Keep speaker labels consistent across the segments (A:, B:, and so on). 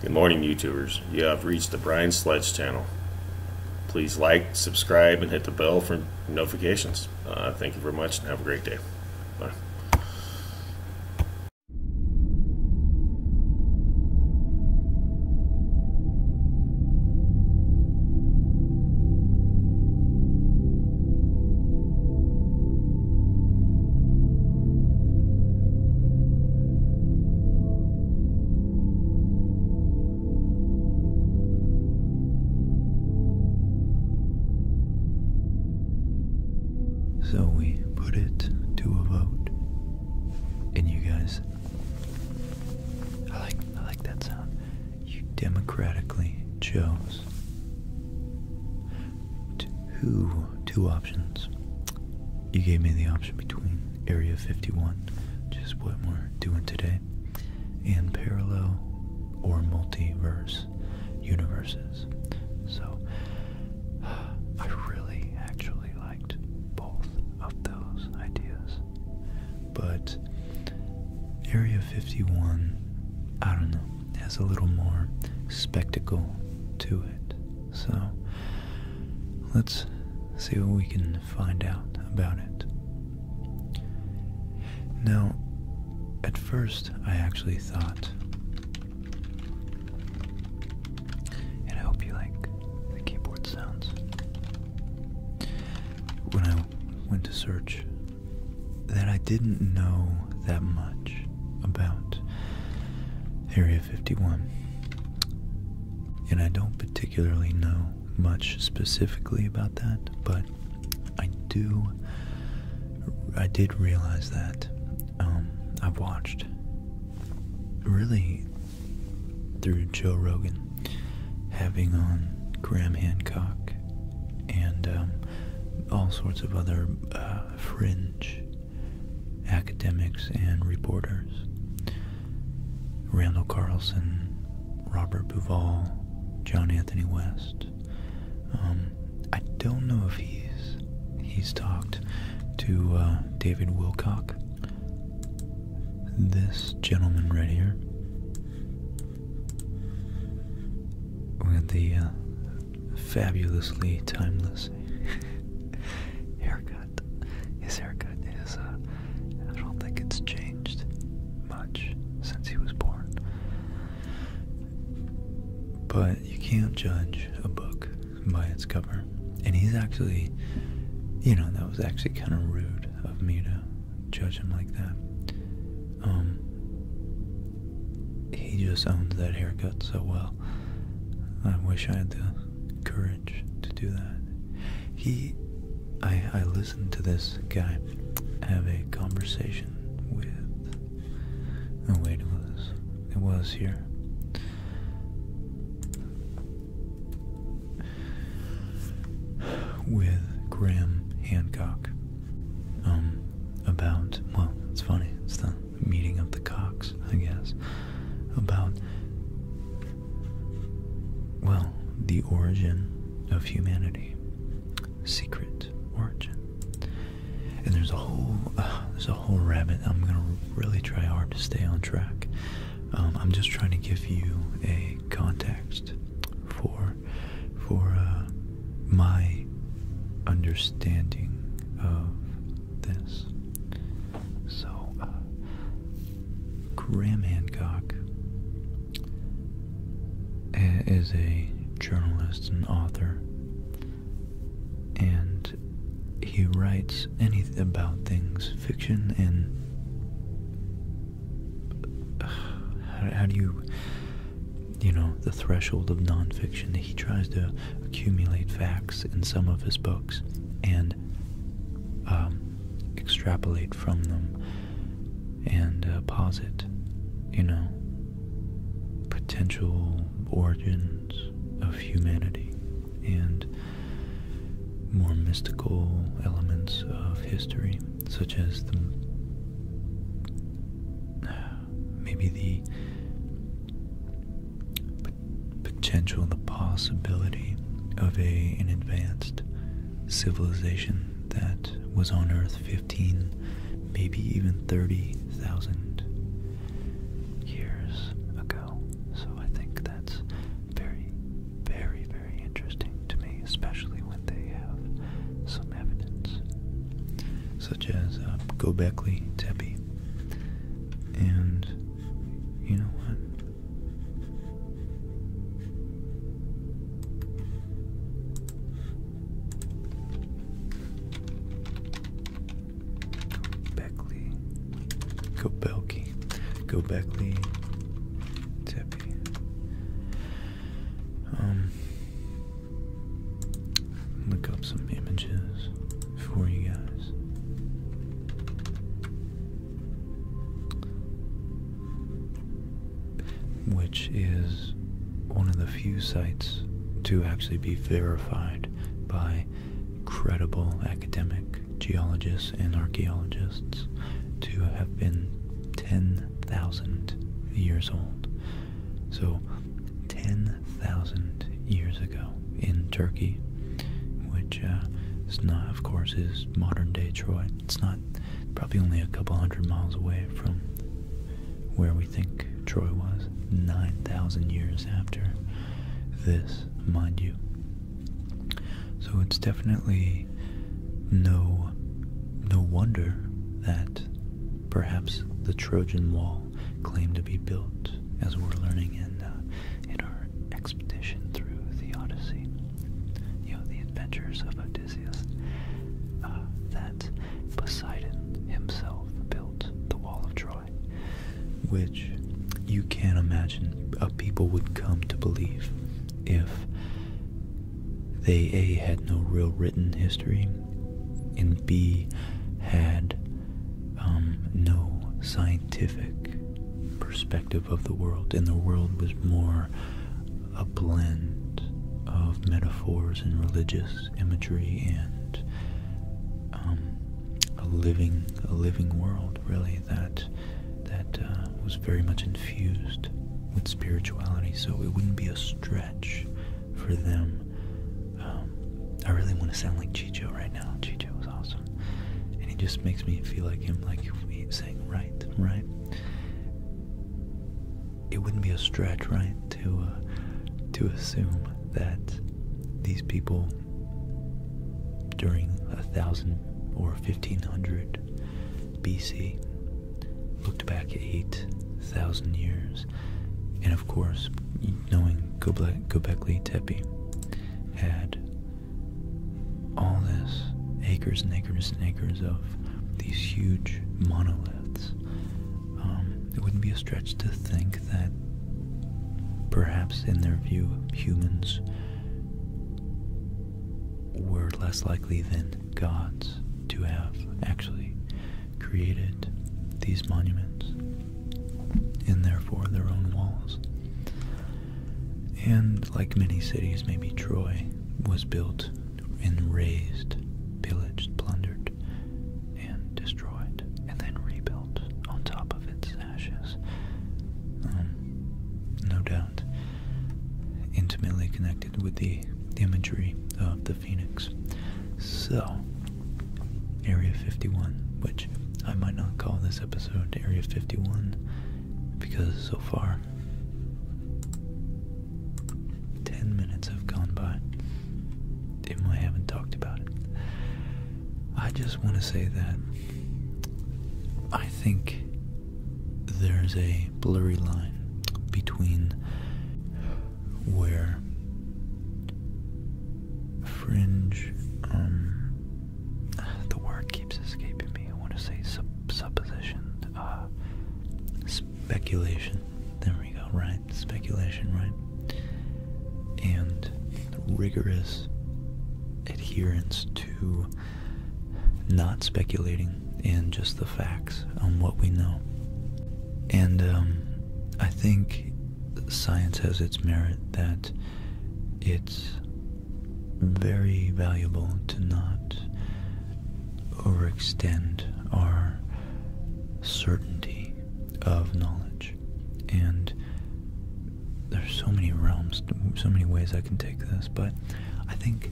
A: Good morning, YouTubers. You have reached the Brian Sledge channel. Please like, subscribe, and hit the bell for notifications. Uh, thank you very much, and have a great day. Bye. So we put it to a vote. And you guys I like I like that sound. You democratically chose two two options. You gave me the option between Area 51, which is what we're doing today, and parallel or multiverse universes. So I really actually liked both of those ideas. But Area 51, I don't know, has a little more spectacle to it. So, let's see what we can find out about it. Now, at first, I actually thought, and I hope you like the keyboard sounds. When I went to search, that I didn't know that much about Area 51. And I don't particularly know much specifically about that, but I do. I did realize that um, I've watched really through Joe Rogan having on Graham Hancock and um, all sorts of other uh, fringe academics and reporters. Randall Carlson, Robert Buval, John Anthony West. Um, I don't know if he's he's talked to uh, David Wilcock. This gentleman right here. Look the uh, fabulously timeless haircut. His haircut is, uh, I don't think it's changed much since he was born. But you can't judge a book by its cover. And he's actually, you know, that was actually kind of rude of me to judge him like that. Um, he just owns that haircut so well. I wish I had the courage to do that. He, I, I listened to this guy have a conversation with. Oh wait, it was, it was here. With Graham Hancock, um, about well, it's funny. It's done meeting of the cocks, I guess, about, well, the origin of humanity. Secret origin. And there's a whole, uh, there's a whole rabbit. I'm gonna really try hard to stay on track. Um, I'm just trying to give you a context for, for uh, my understanding of this. So, uh, Graham Hancock uh, is a journalist and author, and he writes any about things, fiction and uh, how, do you, you know, the threshold of nonfiction. He tries to accumulate facts in some of his books and um, extrapolate from them and uh, posit, you know, potential origins of humanity and more mystical elements of history, such as the maybe the potential, the possibility of a an advanced civilization that was on Earth 15, maybe even 30,000 years ago. So I think that's very, very, very interesting to me, especially when they have some evidence, such as uh, Gobekli Tepe. And you know what? Beckley. Go Belky. Go Beckley. Teppy. Um look up some images for you guys. Which is one of the few sites to actually be verified by credible academic geologists and archaeologists to have been 10,000 years old. So 10,000 years ago in Turkey, which uh, is not, of course, is modern day Troy. It's not probably only a couple hundred miles away from where we think Troy was, 9,000 years after this, mind you. So it's definitely no no wonder that perhaps the Trojan Wall claim to be built, as we're learning in uh, in our expedition through the Odyssey. You know, the adventures of Odysseus. Uh, that Poseidon himself built the Wall of Troy, which you can imagine a people would come to believe if they a had no real written history and b had um, no scientific perspective of the world, and the world was more a blend of metaphors and religious imagery and um, a living, a living world, really that that uh, was very much infused with spirituality. So it wouldn't be a stretch for them um, I really want to sound like Chicho right now. Chicho was awesome. And he just makes me feel like him, like if saying, right, right? It wouldn't be a stretch, right, to, uh, to assume that these people during a thousand or 1500 BC looked back at 8,000 years of course, knowing Göbekli, Göbekli Tepe had all this acres and acres and acres of these huge monoliths, um, it wouldn't be a stretch to think that perhaps, in their view, humans were less likely than gods to have actually created these monuments and therefore their own walls. And like many cities, maybe Troy was built and razed, pillaged, plundered, and destroyed, and then rebuilt on top of its ashes. Um, no doubt intimately connected with the imagery of the phoenix. So, Area 51, which I might not call this episode Area 51 because so far 10 minutes have gone by and I haven't talked about it. I just want to say that I think there's a blurry line between where fringe, um, the word keeps escaping me. I want to say supposition, uh, speculation. There we go, right? Speculation, right? And rigorous adherence to not speculating and just the facts on what we know. And um, I think science has its merit that it's very valuable to not overextend our certainty of knowledge. And there's so many realms, so many ways I can take this, but I think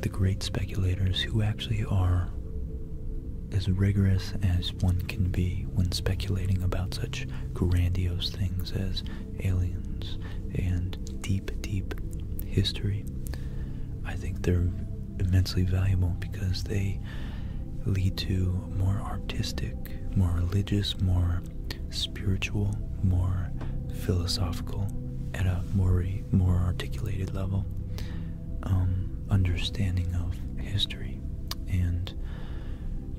A: the great speculators who actually are as rigorous as one can be when speculating about such grandiose things as aliens and deep, deep history. I think they're immensely valuable because they lead to more artistic, more religious, more spiritual, more philosophical, at a more, more articulated level, um, understanding of history and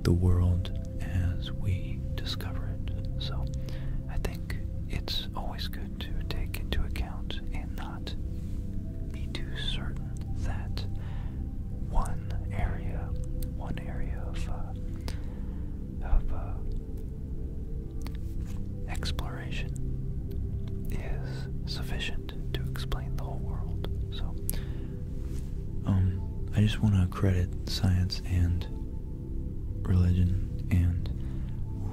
A: the world as we discover it. So I think it's always good to take into account and not be too certain that one area, one area of, uh, uh, exploration is sufficient to explain the whole world. So, um, I just want to credit science and religion and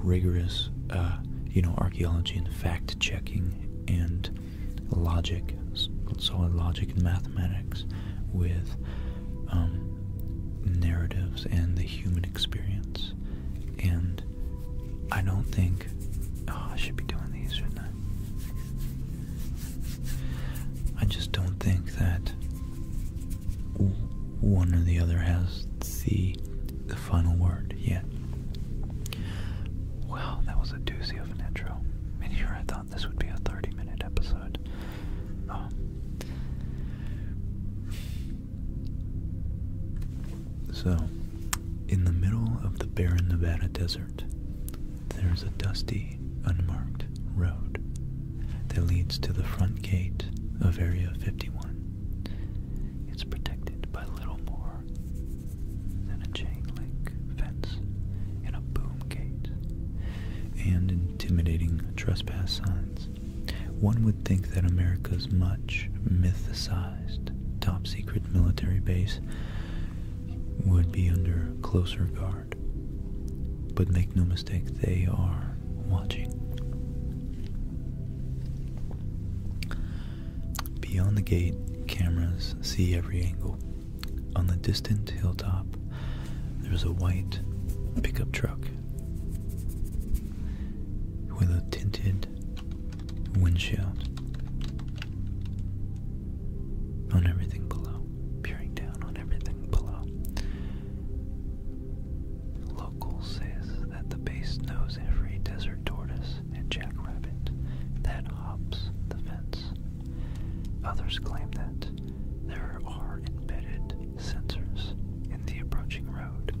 A: rigorous, uh, you know, archaeology and fact checking and logic, solid logic and mathematics with um, narratives and the human experience. And I don't think, oh, I should be doing these, shouldn't I just don't think that one or the other has the final word yet. Well, that was a doozy of an intro. And here I thought this would be a 30-minute episode. Um, so, in the middle of the barren Nevada desert, there's a dusty, unmarked road that leads to the front gate of Area 51. It's protected by little more than a chain link fence and a boom gate and intimidating trespass signs. One would think that America's much mythicized top secret military base would be under closer guard. But make no mistake, they are watching. Beyond the gate, cameras see every angle. On the distant hilltop, there's a white pickup truck with a tinted windshield on everything below, peering down on everything below. Local says that the base knows every desert tortoise and jackrabbit that hops the fence. Others claim that there are embedded sensors in the approaching road.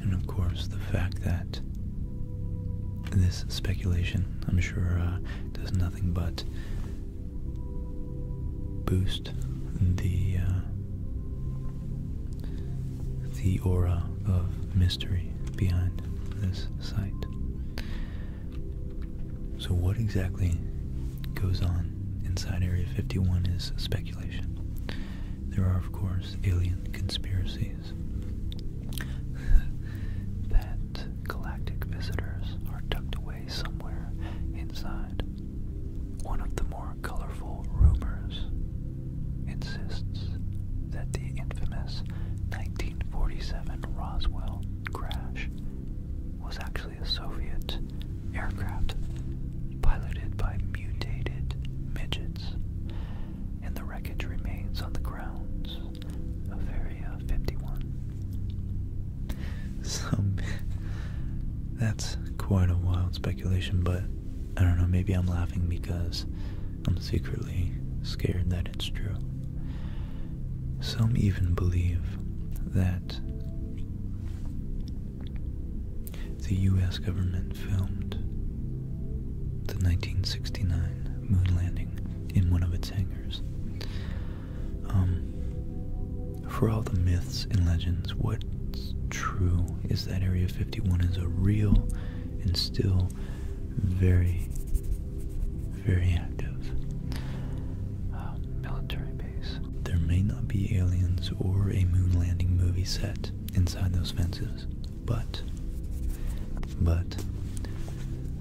A: And of course, the fact that this speculation, I'm sure, uh, does nothing but boost the uh, the aura of mystery behind this site. So, what exactly goes on inside Area 51 is speculation. There are, of course, alien conspiracies that galactic visitors are tucked away somewhere inside. One of the more colorful rumors insists that the infamous 1947 Roswell crash was actually a Soviet aircraft piloted by mutated midgets, and the wreckage remains on the grounds of Area 51. Some. That's quite a wild speculation, but I don't know, maybe I'm laughing because I'm secretly scared that it's true. Some even believe that the US government filmed the 1969 moon landing in one of its hangars. Um, for all the myths and legends, what's true is that Area 51 is a real and still very, very active um, military base. There may not be aliens or a moon landing movie set, inside those fences. But, but,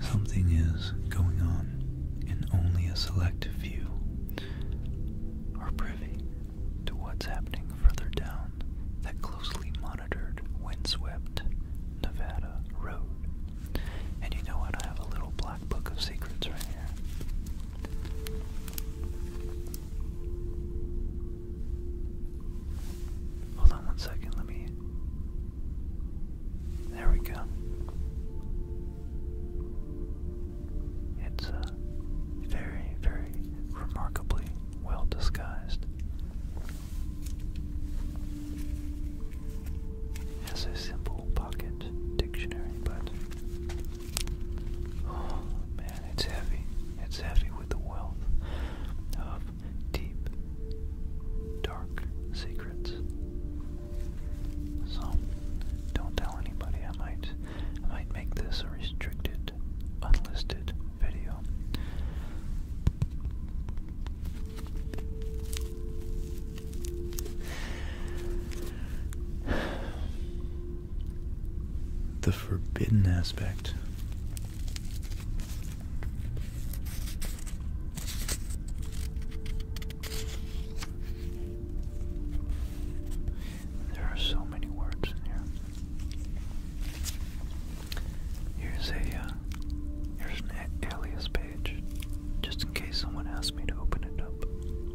A: something is going on, and only a select few are privy to what's happening further down that closely monitored, windswept Nevada road. And you know what? I have a little black book of secrets right here. Hold on one second, let me. There we go. It's uh, very, very remarkably well disguised. It a simple pocket dictionary, but Oh man, it's heavy. It's heavy with the wealth of deep, dark secrets. So don't tell anybody. I might, I might make this a restricted, unlisted video the forbidden aspect. There are so many words in here. Here's a uh, here's an alias page, just in case someone asks me to open it up.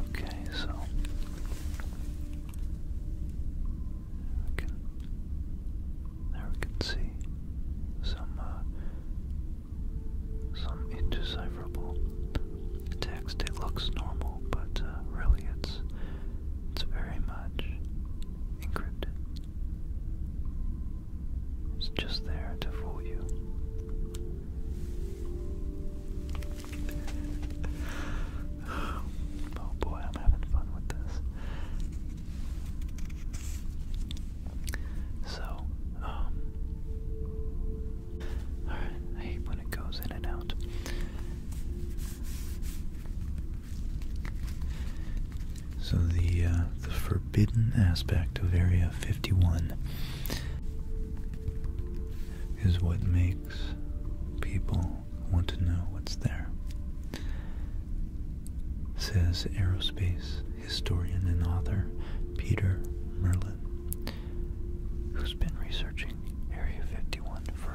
A: Okay, so there we can see some uh, some inches text. It looks normal, but uh, really it's it's very much encrypted. It's just there to fool you. oh boy, I'm having fun with this. So, um, I hate when it goes in and out. So the uh, the forbidden aspect of Area 51 is what makes people want to know what's there. Says aerospace historian and author Peter Merlin who's been researching Area 51 for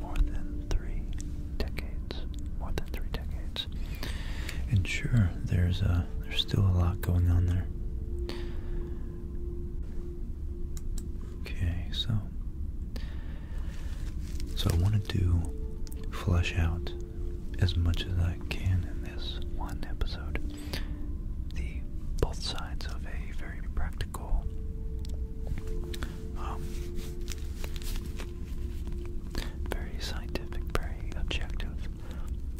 A: more than three decades. More than three decades. And sure, there's a uh, there's still a lot going on there. Okay, so so I wanted to flush out as much as I can in this one episode, the both sides of a very practical um, very scientific, very objective,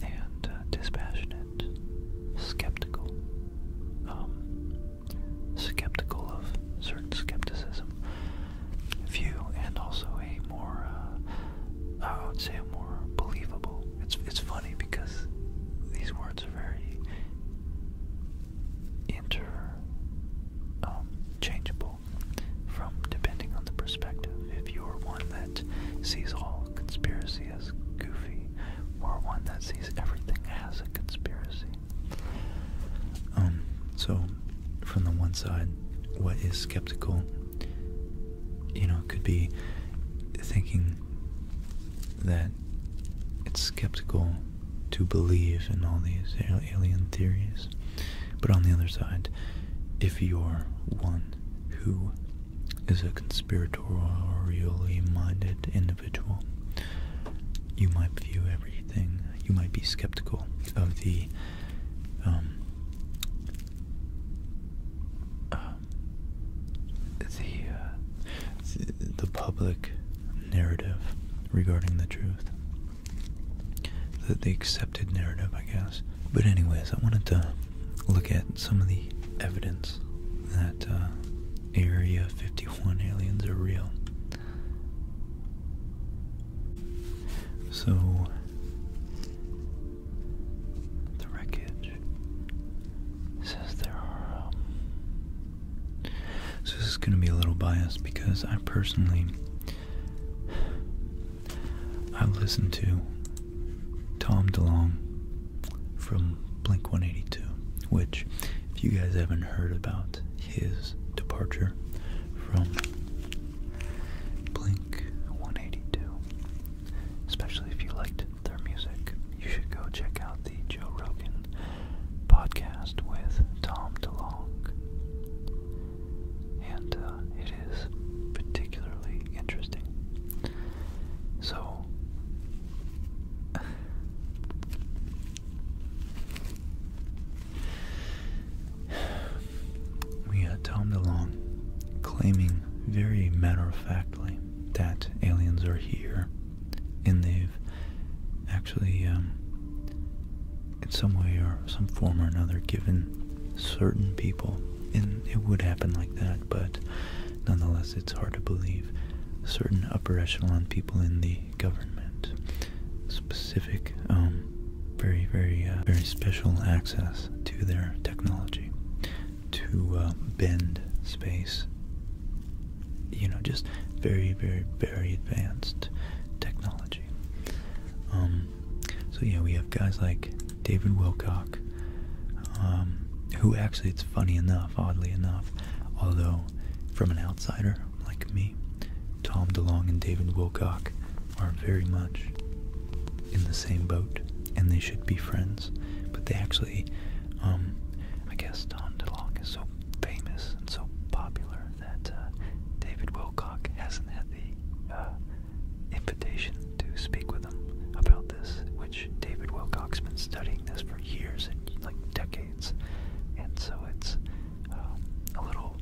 A: and uh, dispassionate, skeptical, um, skeptical of certain skepticism view and also a more, uh, I would say, a more believable. It's it's funny because these words are very inter um, changeable from depending on the perspective. If you're one that sees all conspiracy as goofy, or one that sees everything as a conspiracy. Um, so, from the one side, what is skeptical, you know, could be thinking that it's skeptical to believe in all these alien theories. But on the other side, if you're one who is a conspiratorially minded individual, you might view everything, you might be skeptical of the um, um, the, uh, the public narrative regarding the truth, the, the accepted narrative, I guess. But anyways, I wanted to look at some of the evidence that uh, Area 51 aliens are real. So, the wreckage says there are. Um, so, this is going to be a little biased because I personally. I listened to Tom DeLong from Blink 182, which, if you guys haven't heard about his departure from Blink 182. Especially if you liked their music, you should go check out the Joe Rogan podcast with Tom DeLonge. And uh, it is particularly interesting. So, we had Tom DeLong claiming very matter of factly that aliens are here and they've actually, um, in some way or some form or another, given certain people, and it would happen like that, but nonetheless, it's hard to believe certain upper echelon people in the government specific, um, very, very, uh, very special access to their technology to uh, bend space. You know, just very, very, very advanced technology. Um, so yeah, we have guys like David Wilcock, um, who actually, it's funny enough, oddly enough, although from an outsider like me, Tom DeLong and David Wilcock are very much in the same boat, and they should be friends. But they actually, um, I guess Tom DeLong is so famous and so popular that uh, David Wilcock hasn't had the uh, invitation to speak with him about this. Which David Wilcock's been studying this for years and like decades, and so it's um, a little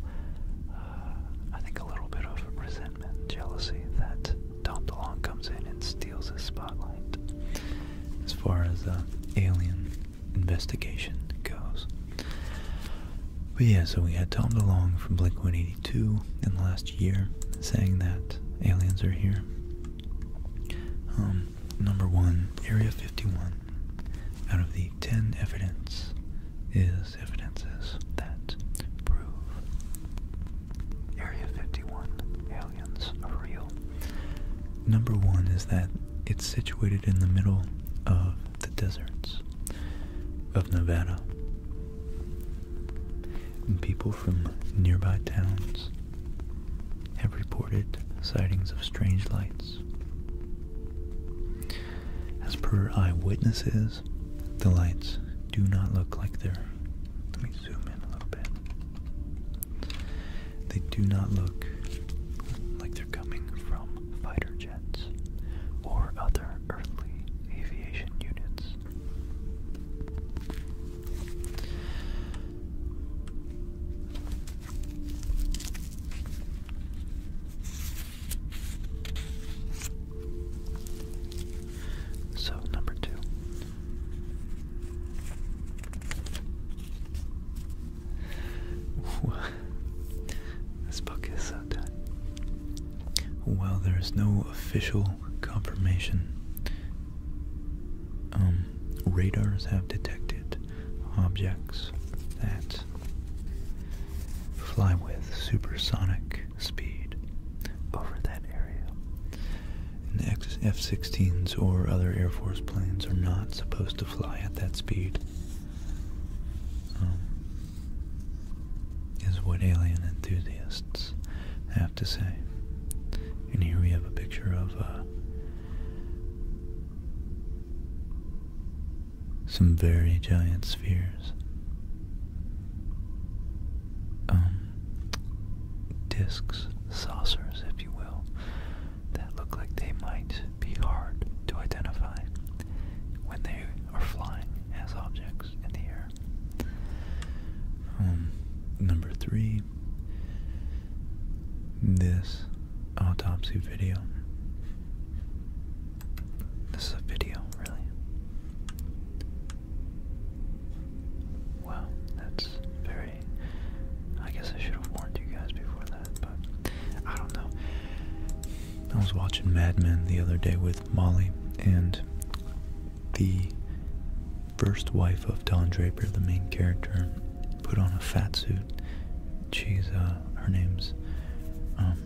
A: uh, uh, I think a little bit of resentment, jealousy that Tom DeLonge comes in and steals the spotlight as far as the uh, alien investigation goes. But yeah, so we had Tom DeLonge from Blink 182 in the last year saying that aliens are here. Um, number one, Area 51 out of the 10 evidence is evidences that prove Area 51 aliens are real. Number one is that it's situated in the middle of the deserts of Nevada. And people from nearby towns have reported sightings of strange lights. As per eyewitnesses the lights do not look like they're. Let me zoom in a little bit. They do not look like they're coming from fighter jets or other earthly aviation units. So, number two. this book is so dead. While there is no official confirmation, um, radars have detected objects that fly with supersonic speed over that area. And the F-16s or other Air Force planes are not supposed to fly at that speed, um, is what alien enthusiasts have to say. And here we have a picture of uh, some very giant spheres. Um, discs, saucers, if you will, that look like they might be hard to identify when they are flying as objects in the air. Um, number three, this autopsy video this is a video, really. Wow, that's very. I guess I should have warned you guys before that, but I don't know. I was watching Mad Men the other day with Molly, and the first wife of Don Draper, the main character, put on a fat suit. She's, uh, her name's, um,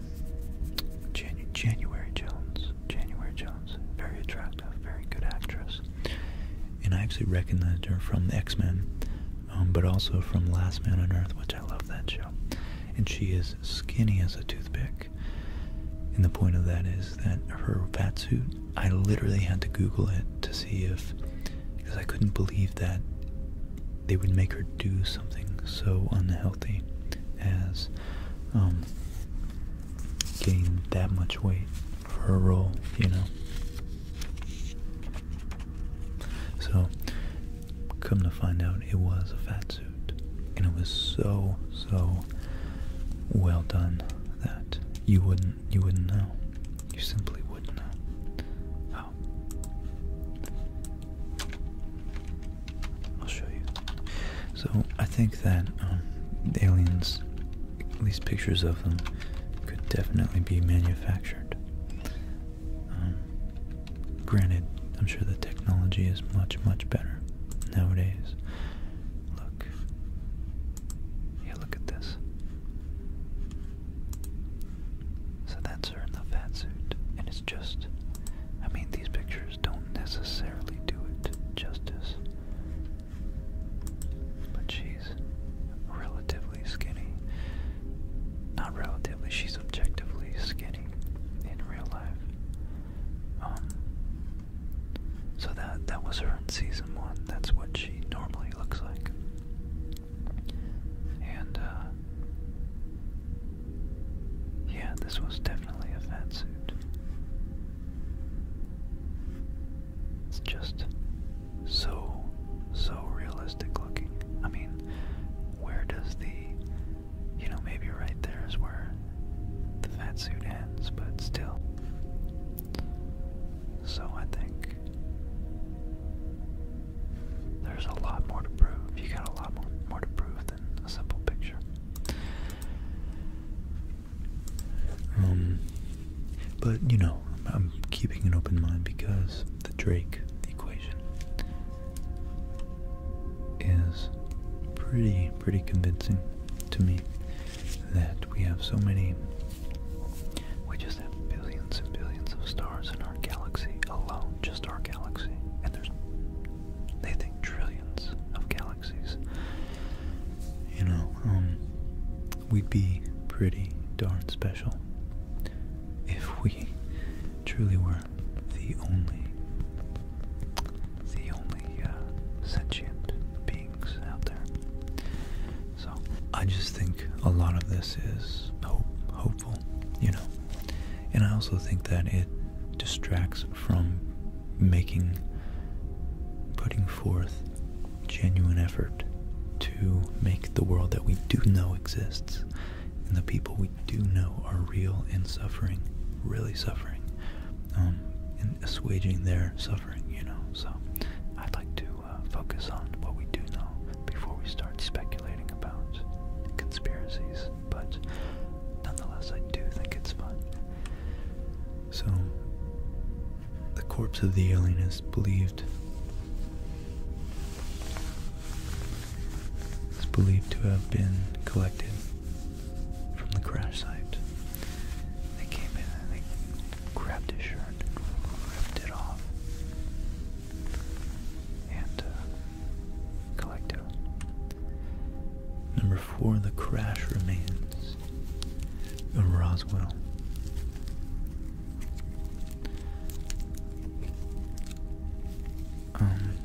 A: January Jones. January Jones. Very attractive, very good actress. And I actually recognized her from the X-Men, um, but also from Last Man on Earth, which I love that show. And she is skinny as a toothpick. And the point of that is that her fat suit, I literally had to Google it to see if, because I couldn't believe that they would make her do something so unhealthy as um, gain that much weight for a role, you know. So, come to find out, it was a fat suit, and it was so so well done that you wouldn't you wouldn't know, you simply wouldn't know. Oh. I'll show you. So I think that um, aliens, these pictures of them, could definitely be manufactured. Um, granted, I'm sure the technology is much, much better nowadays. Look. Yeah, look at this. So that's her in the fat suit. And it's just, I mean, these pictures don't necessarily do it justice. But she's relatively skinny. Not relatively, she's objectively skinny in real life. Um, so that that was her in season one. That's what she normally looks like. And uh, yeah, this was definitely a fat suit. It's just so, so realistic looking. I mean, where does the, you know, maybe right there is where the fat suit ends, but still. So I think there's a lot more to prove. You got a lot more, more to prove than a simple picture. Um, but you know, I'm, I'm keeping an open mind because the Drake equation is pretty pretty convincing to me that we have so many we just have billions and billions of stars in our galaxy alone, just our galaxy. And there's they think trillions of galaxies. You know, um, we'd be pretty darn special if we truly were the only, the only uh, sentient beings out there. So I just think a lot of this is hopeful. You know, and I also think that it distracts from making putting forth genuine effort to make the world that we do know exists and the people we do know are real and suffering, really suffering, um, and assuaging their suffering, you know. So I'd like to uh, focus on what we do know before we start speculating about conspiracies but nonetheless, I do think it's fun. So, the corpse of the alien is believed. It's believed to have been collected from the crash site. They came in and they grabbed his shirt and ripped it off. And uh, Collective Number four, The Crash Remains of Roswell. Um,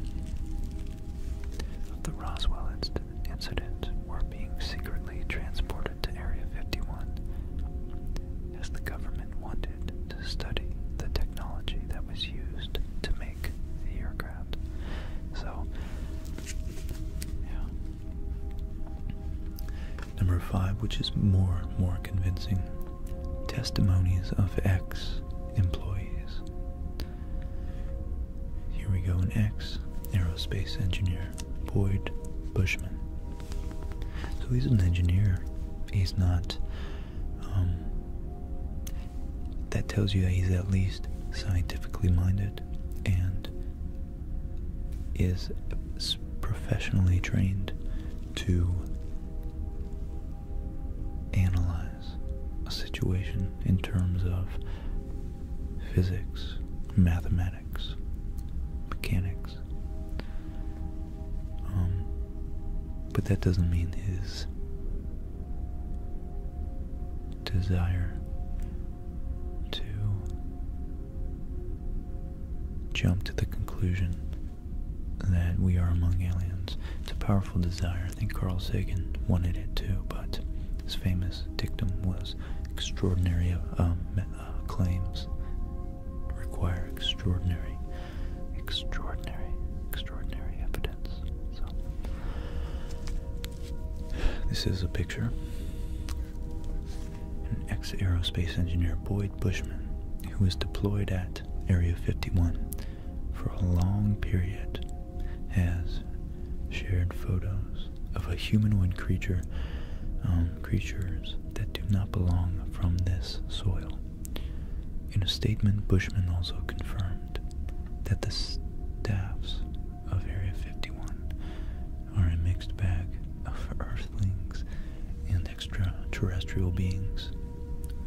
A: the Roswell incident were being secretly transported to Area 51 as the government wanted to study the technology that was used to make aircraft. So, Number five, which is more more convincing, testimonies of ex employees. Here we go, an ex aerospace engineer, Boyd Bushman. So he's an engineer. He's not. Um, that tells you that he's at least scientifically minded and is professionally trained to analyze a situation in terms of physics, mathematics, mechanics. Um, but that doesn't mean his desire to jump to the conclusion that we are among aliens. It's a powerful desire. I think Carl Sagan wanted it too, but his famous dictum was extraordinary uh, um, uh, claims require extraordinary, extraordinary, extraordinary evidence this is a picture. An ex aerospace engineer, Boyd Bushman, who was deployed at Area 51 for a long period, has shared photos of a humanoid creature, um, creatures that do not belong from this soil. In a statement, Bushman also confirmed that the staffs of Area 51 are a mixed bag of earthlings and extraterrestrial beings.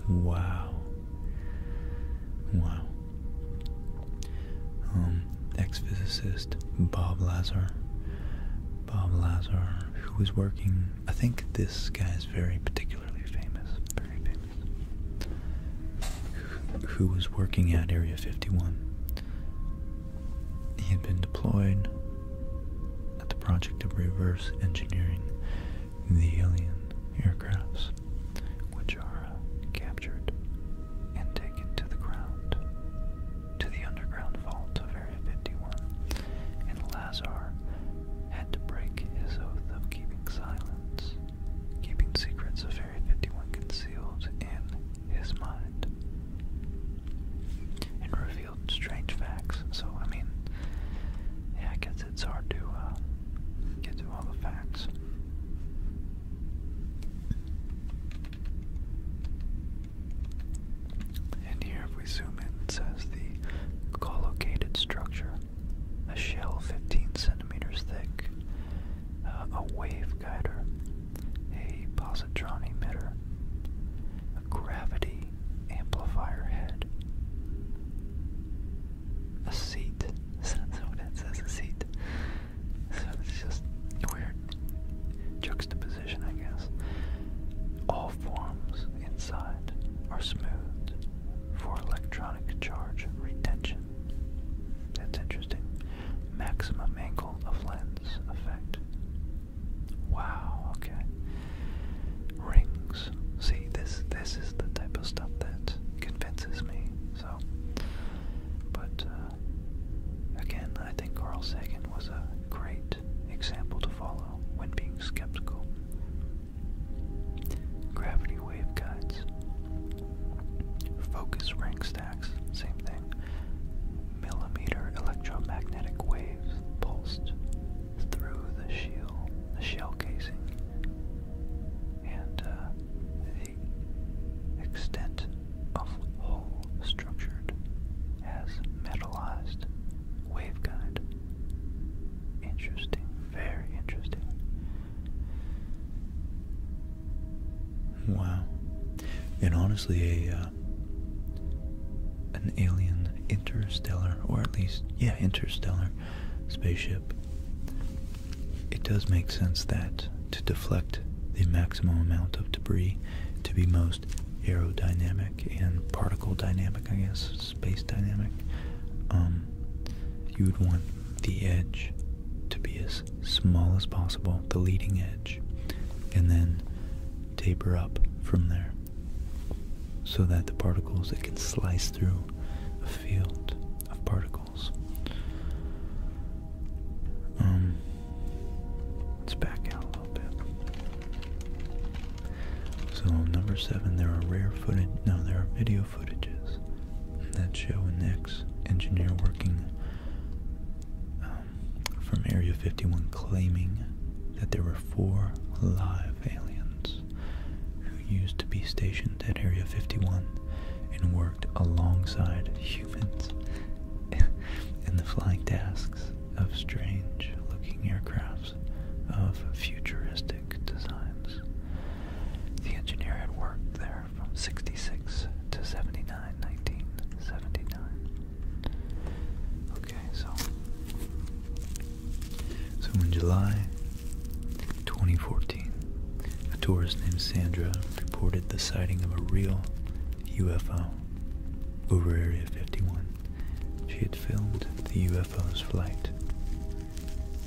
A: Wow. Wow. Um, ex-physicist Bob Lazar. Bob Lazar, who was working, I think this guy is very particularly famous, very famous who was working at Area 51. He had been deployed at the project of reverse engineering the alien aircrafts, which are uh, captured and taken to the ground, to the underground vault of Area 51, and Lazar had to break his oath of keeping silence, keeping secrets of 51 concealed in his mind and revealed strange facts. So, I mean, yeah, I guess it's hard to uh, get to all the facts. And here, if we zoom in, it says the collocated structure a shell 15 centimeters thick, uh, A wave waveguider, a positron emitter, a gravity amplifier head, a seat. That's what it says, a seat. So it's just weird juxtaposition, I guess. All forms inside are smooth for electronic charge retention. That's interesting. Maximum angle of lens effect. Wow, okay. Rings. See, this this is the type of stuff that convinces me. So, but uh, again, I think Carl Sagan was a great example to follow when being skeptical. Gravity waveguides. Focus rank stacks, same thing. Millimeter electromagnetic waves pulsed through the shell, the shell casing, and uh, the extent of whole structured as metallized waveguide. Interesting, very interesting. Wow. And honestly, a uh, an alien interstellar, or at least yeah, interstellar spaceship. It does make sense that to deflect the maximum amount of debris to be most aerodynamic and particle dynamic, I guess, space dynamic. Um, you would want the edge to be as small as possible, the leading edge, and then taper up from there so that the particles it can slice through a field of particles. Um, let's back out a little bit. So number seven, there are rare footage. No, there are video footages that show an ex engineer working um, from Area 51 claiming that there were four live aliens who used to be stationed at Area 51 and worked alongside humans in the flying tasks of strange looking aircrafts of futuristic designs. The engineer had worked there from 66 to 79, 1979. Okay, so. So in July 2014, a tourist named Sandra reported the sighting of a real UFO over Area 51. She had filmed the UFO's flight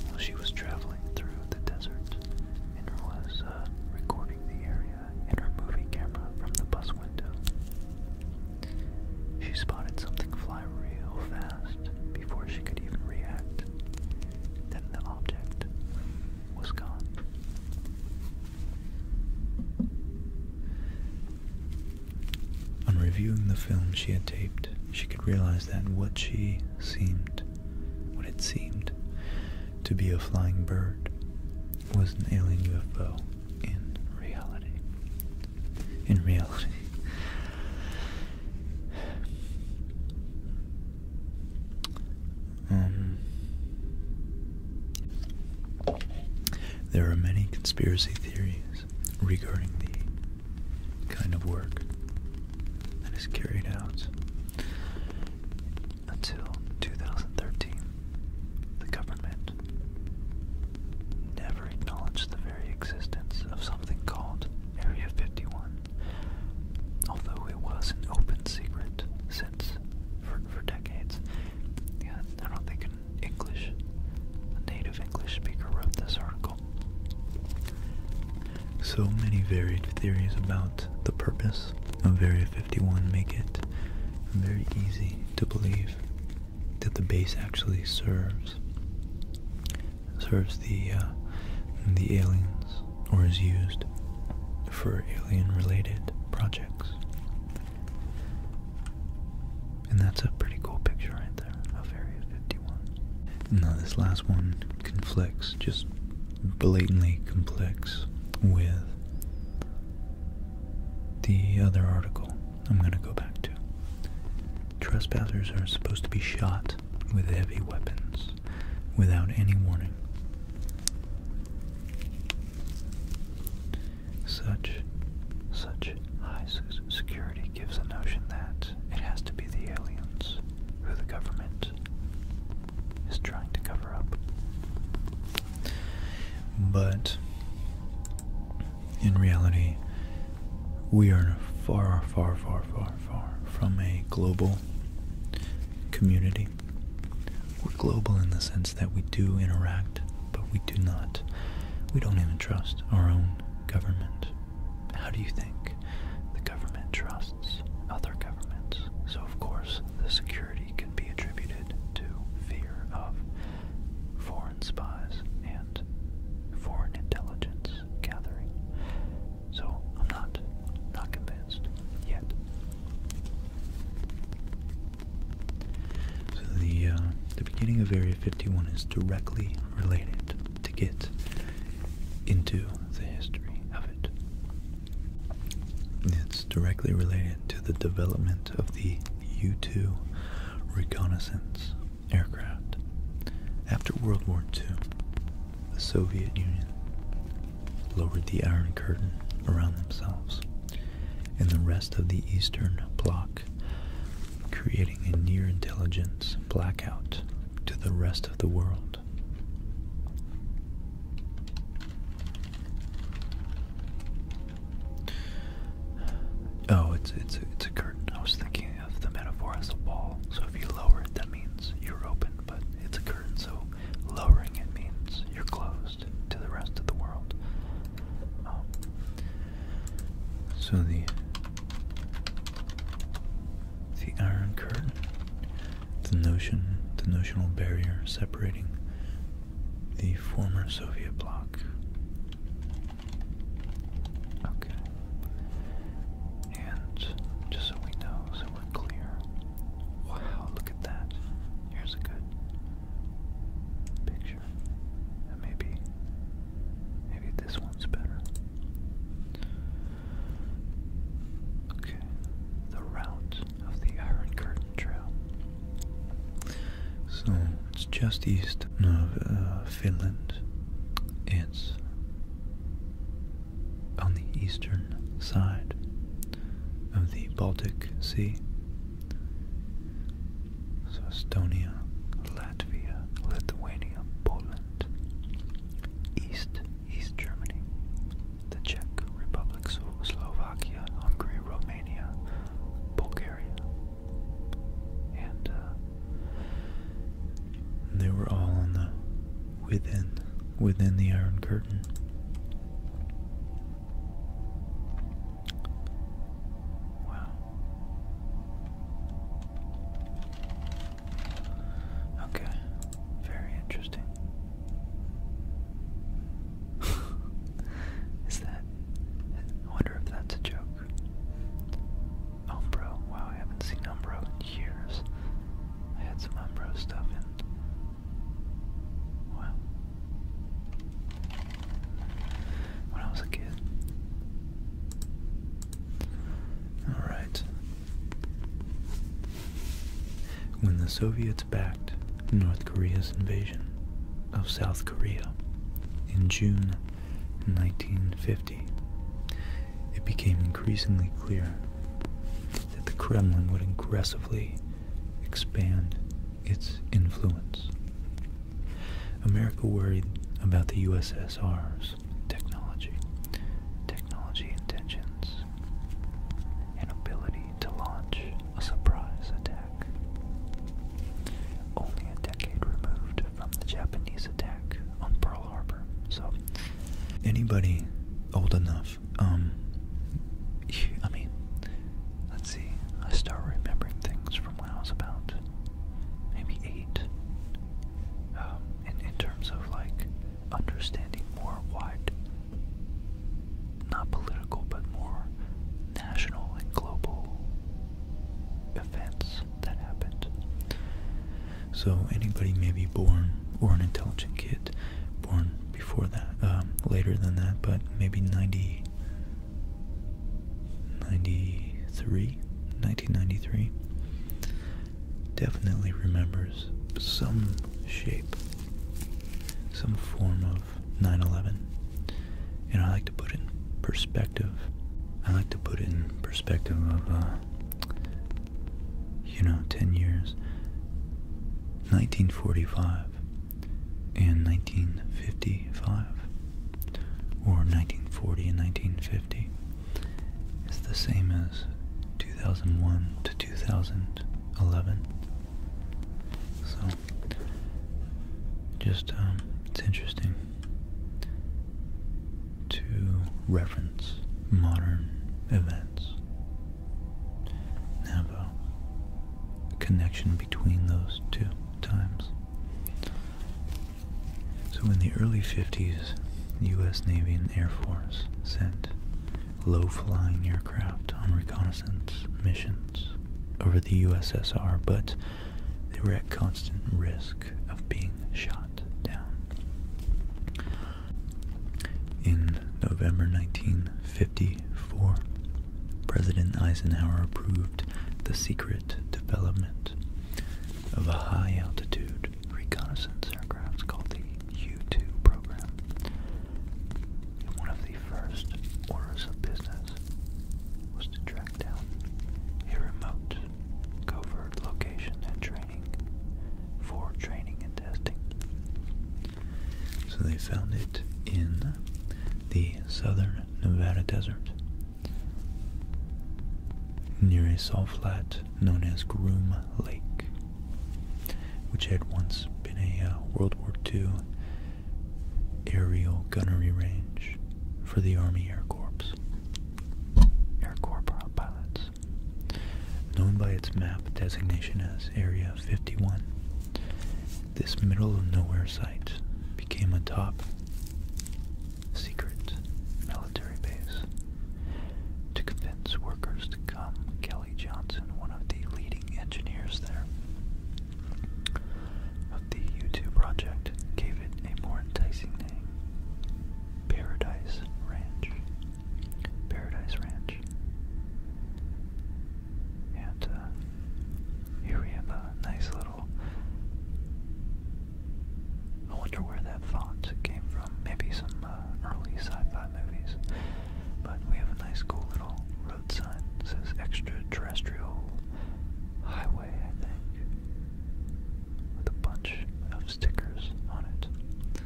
A: while she was traveling through the desert and was uh, recording the area in her movie camera from the bus window. She spotted something fly real fast before she could even react. Then the object was gone. On reviewing the film she had taped, she could realize that what she seemed what it seemed to be a flying bird was an alien UFO in reality. In reality. Um, there are many conspiracy theories regarding the kind of work that is carried out until 2013. The government never acknowledged the very existence of something called Area 51, although it was an open secret since for, for decades. Yeah, I don't think an English, a native English speaker wrote this article so many varied theories about the purpose of Area 51 make it very easy to believe that the base actually serves serves the uh, the aliens or is used for alien related projects. And that's a pretty cool picture right there of Area 51. Now this last one conflicts just blatantly complex with the other article I'm going to go back to. Trespassers are supposed to be shot with heavy weapons without any warning. Such such high security gives a notion that it has to be the aliens who the government is trying to cover up. But in reality, we are far, far, far, far, far from a global community. We're global in the sense that we do interact, but we do not. We don't even trust our own government. How do you think the government trusts? other governments. So, of course, the security can be attributed to fear of foreign spies and foreign intelligence gathering. So, I'm not not convinced yet. So the uh, the beginning of Area 51 is directly related to get into the history of it. It's directly related to the development of the U 2 reconnaissance aircraft. After World War II, the Soviet Union lowered the Iron Curtain around themselves and the rest of the Eastern Bloc, creating a near intelligence blackout to the rest of the world. Oh, it's it's it's a curtain. I was thinking of the metaphor as a wall. So if you lower it, that means you're open. But it's a curtain, so lowering it means you're closed to the rest of the world. Um, so the the iron curtain the notion, the notional barrier separating the former Soviet bloc. Okay. And just so we know, so we're clear. Wow, look at that. Here's a good picture. maybe maybe this one's better. Okay, the route of the Iron Curtain Trail. So it's just east of uh, Finland. It's on the eastern side of the Baltic Sea. So Estonia, Latvia, Lithuania, Poland, East East Germany, the Czech Republic, Slovakia, Hungary, Romania, Bulgaria, and uh, they were all on the within within the Iron Curtain. Wow. Okay, very interesting. Is that. I wonder if that's a joke. Umbro, wow, I haven't seen Umbro in years. I had some Umbro stuff in. Wow. When I was a kid. Alright, when the Soviets backed North Korea's invasion of South Korea in June 1950, it became increasingly clear that the Kremlin would aggressively expand its influence. America worried about the USSR's technology, technology intentions, and ability to launch a surprise attack. Only a decade removed from the Japanese attack on Pearl Harbor. So, anybody old enough, um, I mean, let's see, I start remembering things from when I was about maybe eight. Um, in, in terms of like understanding more wide, not political, but more national and global events that happened. So anybody may be born or an intelligent kid born before that, um, later than that, but maybe 90, 1993 definitely remembers some shape, some form of 9 11. You know, I like to put it in perspective. I like to put it in perspective of, uh, you know, 10 years. 1945 and 1955, or 1940 and 1950. It's the same as 2001 to 2011. So, just, um, it's interesting to reference modern events and have connection between those two times. So in the early 50s, the U.S. Navy and Air Force sent low-flying aircraft on reconnaissance missions over the USSR, but they were at constant risk of being shot down. In November 1954, President Eisenhower approved the secret development of a high altitude reconnaissance aircrafts called the U-2 program. one of the first orders of business was to track down a remote, covert location and training for training and testing. So they found it in the southern Nevada desert near a salt flat known as Groom Lake, which had once been a uh, World War II aerial gunnery range for the Army Air Corps. Air Corps pilots. Known by its map designation as Area 51, this middle of nowhere site became a top secret military base to convince workers to come Johnson, one of the leading engineers there of the YouTube project, gave it a more enticing name Paradise Ranch. Paradise Ranch. And uh, here we have a nice little. I wonder where that font came from. Maybe some uh, early sci fi movies. But we have a nice cool little road sign that says extraterrestrial highway, I think, with a bunch of stickers on it.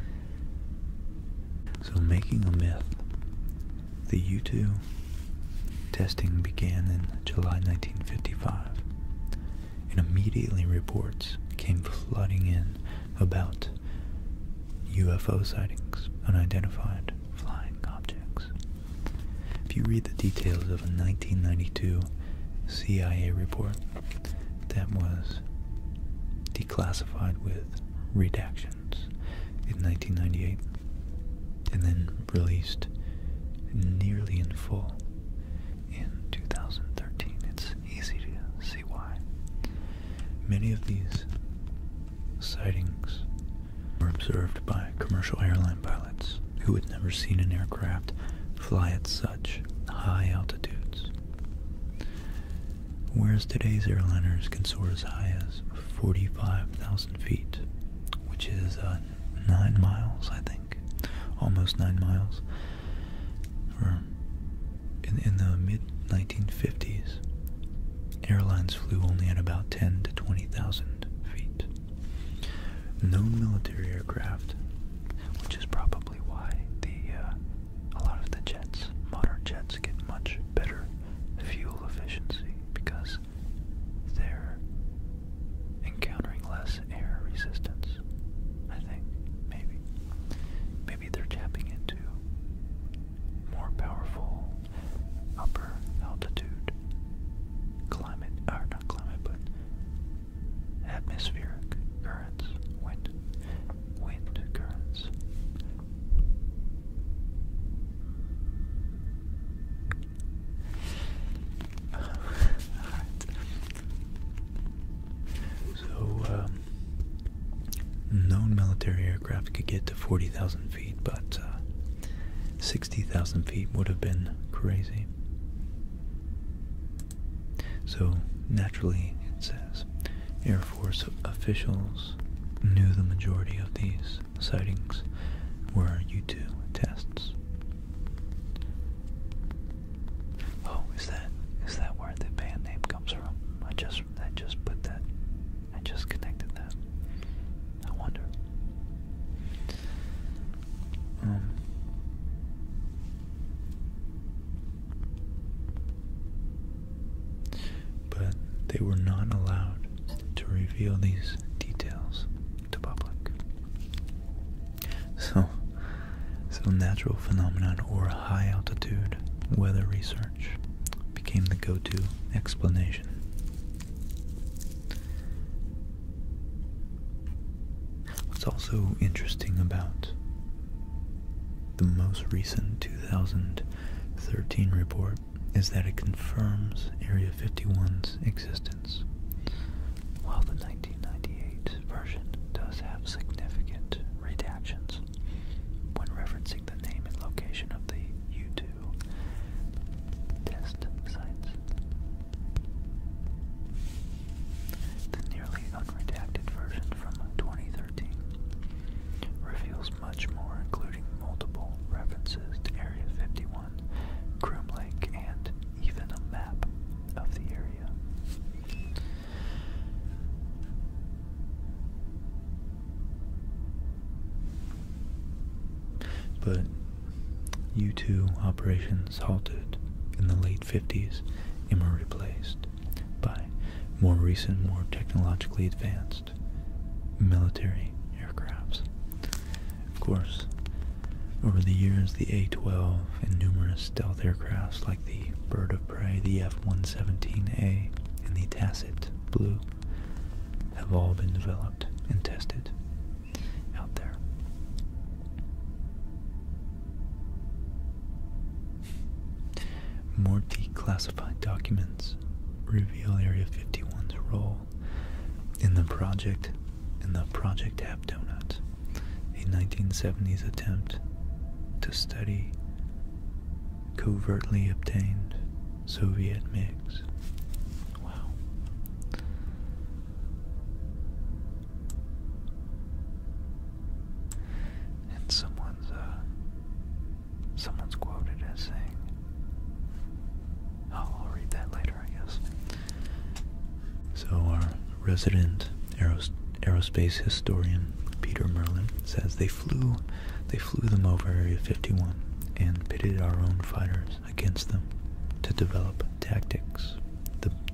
A: So making a myth. The U2 testing began in July 1955 and immediately reports came flooding in about UFO sightings, unidentified flying objects. If you read the details of a 1992 CIA report that was declassified with redactions in 1998 and then released nearly in full in 2013, it's easy to see why. Many of these sightings were observed by commercial airline pilots who had never seen an aircraft fly at such high altitudes. Whereas today's airliners can soar as high as 45,000 feet, which is uh, 9 miles, I think, almost 9 miles, in, the mid-1950s, airlines flew only at about 10 to 20,000 feet. No military aircraft, which is probably why the uh, a lot of the jets, modern jets, get much better fuel efficiency because they're encountering less air resistance. I think maybe maybe they're tapping into more powerful upper altitude climate, or not climate, but atmospheric currents, wind, wind currents. So, uh, um, known military aircraft could get to 40,000 feet, but uh, 60,000 feet would have been crazy. So, naturally, it says Air Force officials knew the majority of these sightings were U 2 tests. Oh, is that is that where the band name comes from? I just I just put that I just connected that. I wonder. Um, but they were not allowed to reveal these details to public. So so natural phenomenon or high altitude weather research became the go-to explanation. What's also interesting about the most recent 2013 report is that it confirms Area 51's existence, while the 1998 version does have significant redactions when referencing the name and location of the U2 test sites. The nearly unredacted version from 2013 reveals much more, including multiple references to Area 51, Grim Lake, and even a map of the area. But U2 operations halted in the late 50s and were replaced by more recent, more technologically advanced military aircrafts. Of course, over the years, the A-12 and numerous stealth aircrafts like the Bird of Prey, the F-117A, and the Tacit Blue, have all been developed and tested out there. More declassified documents reveal Area 51's role in the project in the Project Hap Donut, a 1970s attempt to study covertly obtained Soviet mix. Wow. And someone's uh someone's quoted as saying Oh, I'll read that later I guess. So our resident arrows aerospace historian Peter Merlin says they flew they flew them over Area 51 and pitted our own fighters against them to develop tactics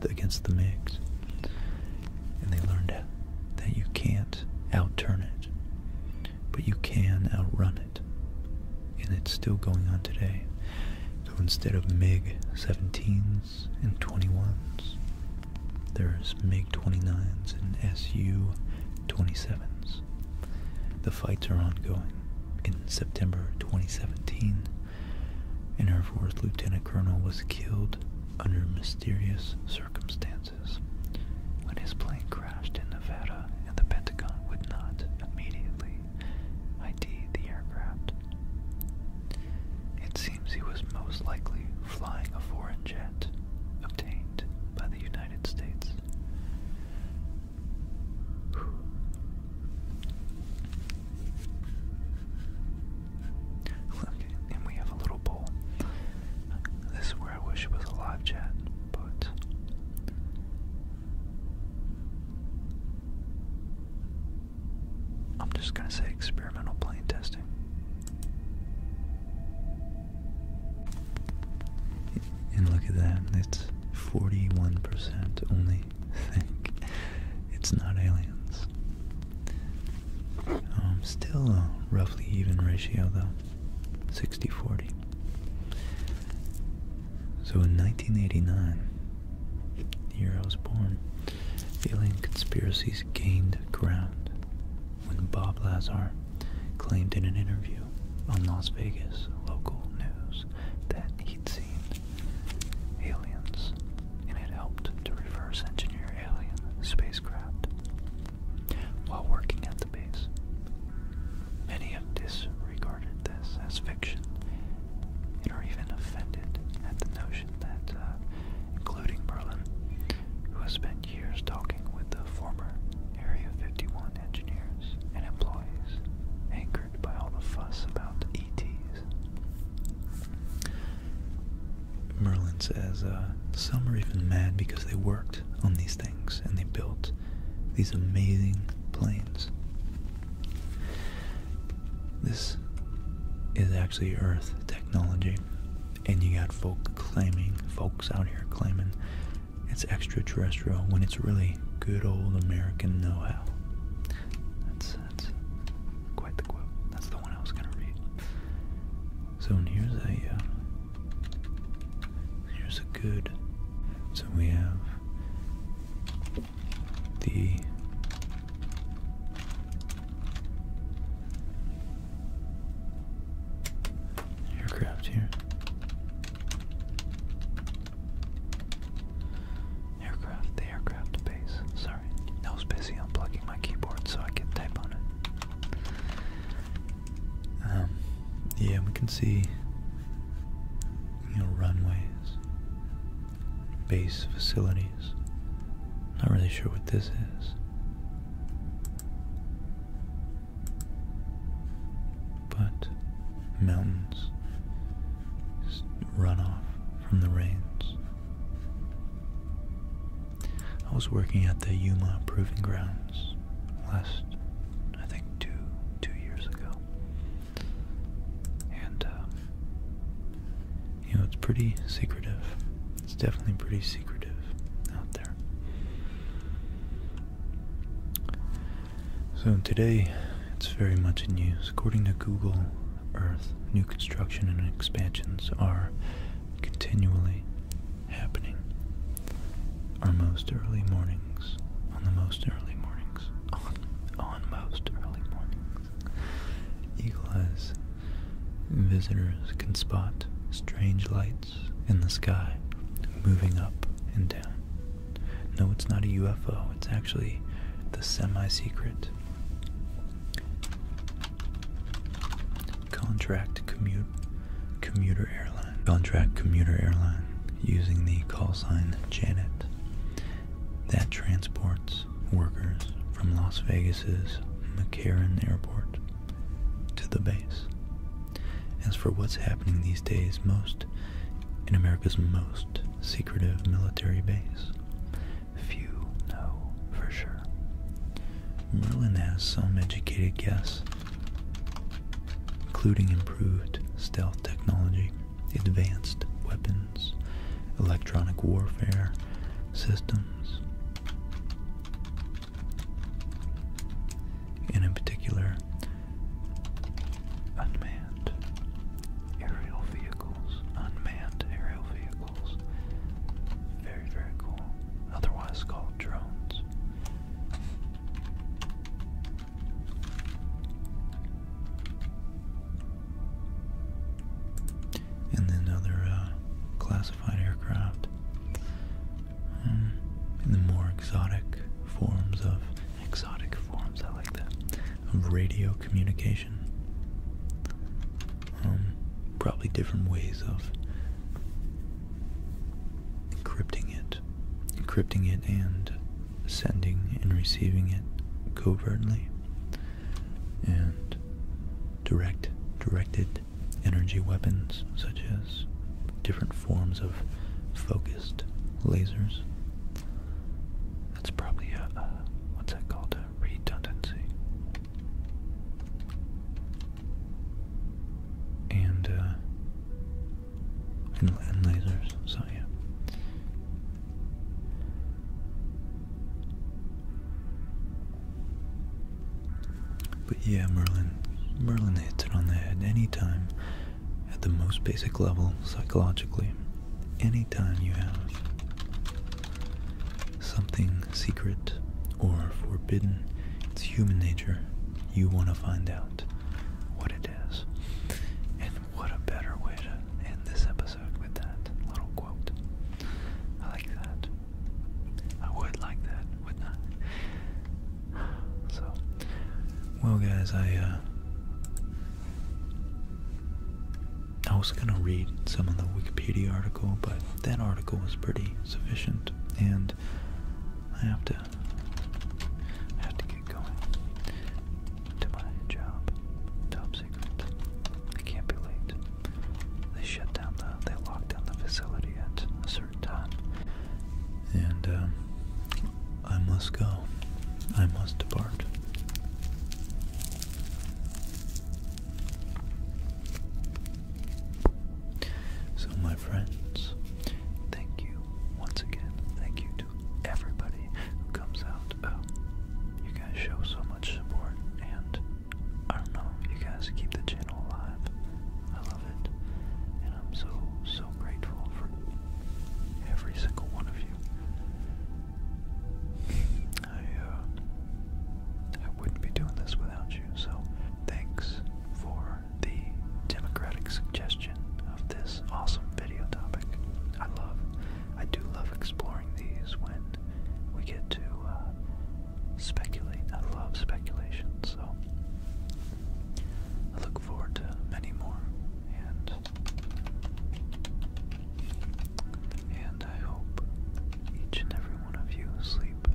A: against the MiGs. And they learned that you can't outturn it, but you can outrun it. And it's still going on today. So instead of MiG 17s and 21s, there's MiG-29s and Su-27s. The fights are ongoing. In September 2017, an Air Force Lieutenant Colonel was killed under mysterious circumstances when his plane crashed in Nevada and the Pentagon would not immediately ID the aircraft. It seems he was most likely flying a foreign jet obtained by the United States. Okay, and we have a little bowl. This is where I wish it was a live chat, but. I'm just gonna say experimental plane testing. And look at that, it's 41% only think it's not aliens. Um, still a roughly even ratio though, 60-40. So in 1989, the year I was born, alien conspiracies gained ground when Bob Lazar claimed in an interview on Las Vegas local news that he'd seen aliens and had helped to reverse engineer alien spacecraft while working at the base. Many have disregarded this as fiction and are even offended at the notion that, uh, including Berlin, who has been years talking with the former Area 51 engineers and employees, angered by all the fuss about ETs. Merlin says uh, some are even mad because they worked on these things and they built these amazing planes. This is actually Earth technology and you got folks claiming, folks out here claiming it's extraterrestrial when it's really good old American know-how. That's quite the quote. That's the one I was gonna read. So here's a uh, here's a good. So we have the aircraft here. Aircraft, the aircraft base. Sorry, I busy unplugging my keyboard so I could type on it. Um, yeah, we can see, you know, runways, base facilities. Not really sure what this is. But mountains just from the rains. I was working at the Yuma Proving Grounds last, I think, two two years ago, and uh, you know it's pretty secretive. It's definitely pretty secretive out so today, it's very much in use. According to Google Earth, new construction and expansions are continually happening. Our most early mornings, on the most early mornings, on, on most early mornings, Eagle Eyes visitors can spot strange lights in the sky moving up and down. No, it's not a UFO, it's actually the semi secret contract commuter airline. Contract commuter airline using the call sign Janet that transports workers from Las Vegas's McCarran Airport to the base. As for what's happening these days most in America's most secretive military base, few know for sure. Merlin has some educated guesses, including improved stealth technology, advanced weapons, electronic warfare systems, and in particular, unmanned aerial vehicles. Unmanned aerial vehicles. Very, very cool. Otherwise called drones. And then other uh, classified aircraft um, in the more exotic forms of exotic forms. I like that of radio communication. Um, probably different ways of encrypting it, encrypting it, and sending and receiving it covertly and direct, directed energy weapons such as different forms of focused lasers. That's probably a, what's that called? A redundancy. and, uh, and lasers, so yeah. But yeah, Merlin. Merlin hits it on the head any time, at the most basic level psychologically. Any time you have something secret or forbidden, it's human nature. You want to find out what it is. And what a better way to end this episode with that little quote. I like that. I would like that, wouldn't I? So, well, guys, I uh, I was gonna read some of the Wikipedia article, but that article was pretty sufficient, and I have to have to get going to my job. Top secret. I can't be late. They shut down the. They locked down the facility at a time. And um, I must go. I must depart. So, my friends, thank you once again. Thank you to everybody who comes out. Um, you guys show so much support, and I don't know, you guys keep the channel alive. I love it. And I'm so, so grateful for every single one of you. I, uh, I wouldn't be doing this without you, so thanks for the democratic suggestion of this awesome video topic. I love, I do love exploring these when we get to, uh, speculate. I love speculation, so I look forward to many more, and and I hope each and every one of you sleep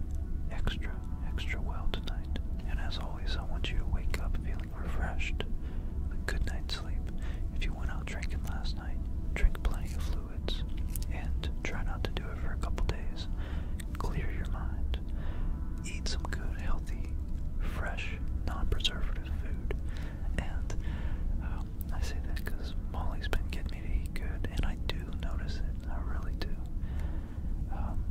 A: extra, extra well tonight. And as always, I want you to wake up feeling refreshed, a good night's sleep. If you went out drinking last night, drink plenty of fluids, and try not to do it for a couple days clear your mind. Eat some good, healthy, fresh, non-preservative food. And um, I say that because Molly's been getting me to eat good, and I do notice it. I really do. Um,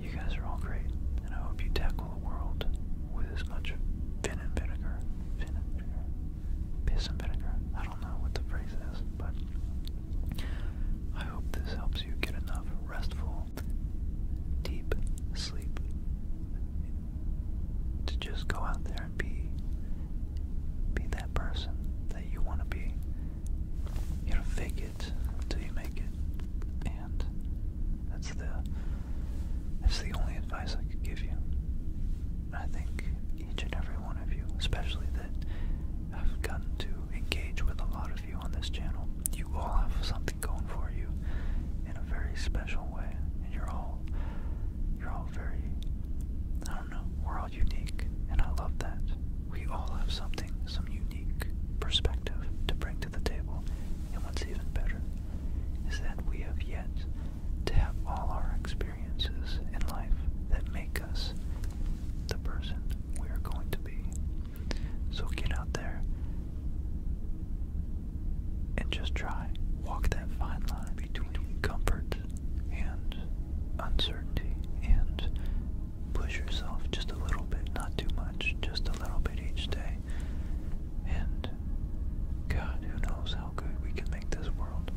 A: you guys are all great, and I hope you tackle the world with as much vinegar, piss and vinegar. I don't know what the phrase is, but I hope this helps you get enough restful, deep sleep to just go out there and be be that person that you want to be. You know, fake it till you make it. And that's the that's the only advice I could give you. I think each and every one of you, especially that I've gotten to engage with a lot of you on this channel. You all have something going for you in a very special way, and you're all you're all very I don't know, we're all unique, and I love that. We all have something, some unique perspective to bring to the table, and what's even better is that we have yet to have all our experiences experiences in life that make us the person we are going to be. So get out there and just try. Walk that fine line between comfort and uncertainty and push yourself just a little bit, not too much, just a little bit each day. And God, who knows how good we can make this world.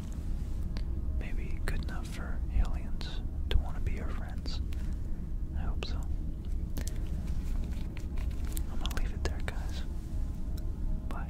A: Maybe good enough enough for aliens to want to be our friends. I hope so. I'm gonna leave it there, guys. Bye.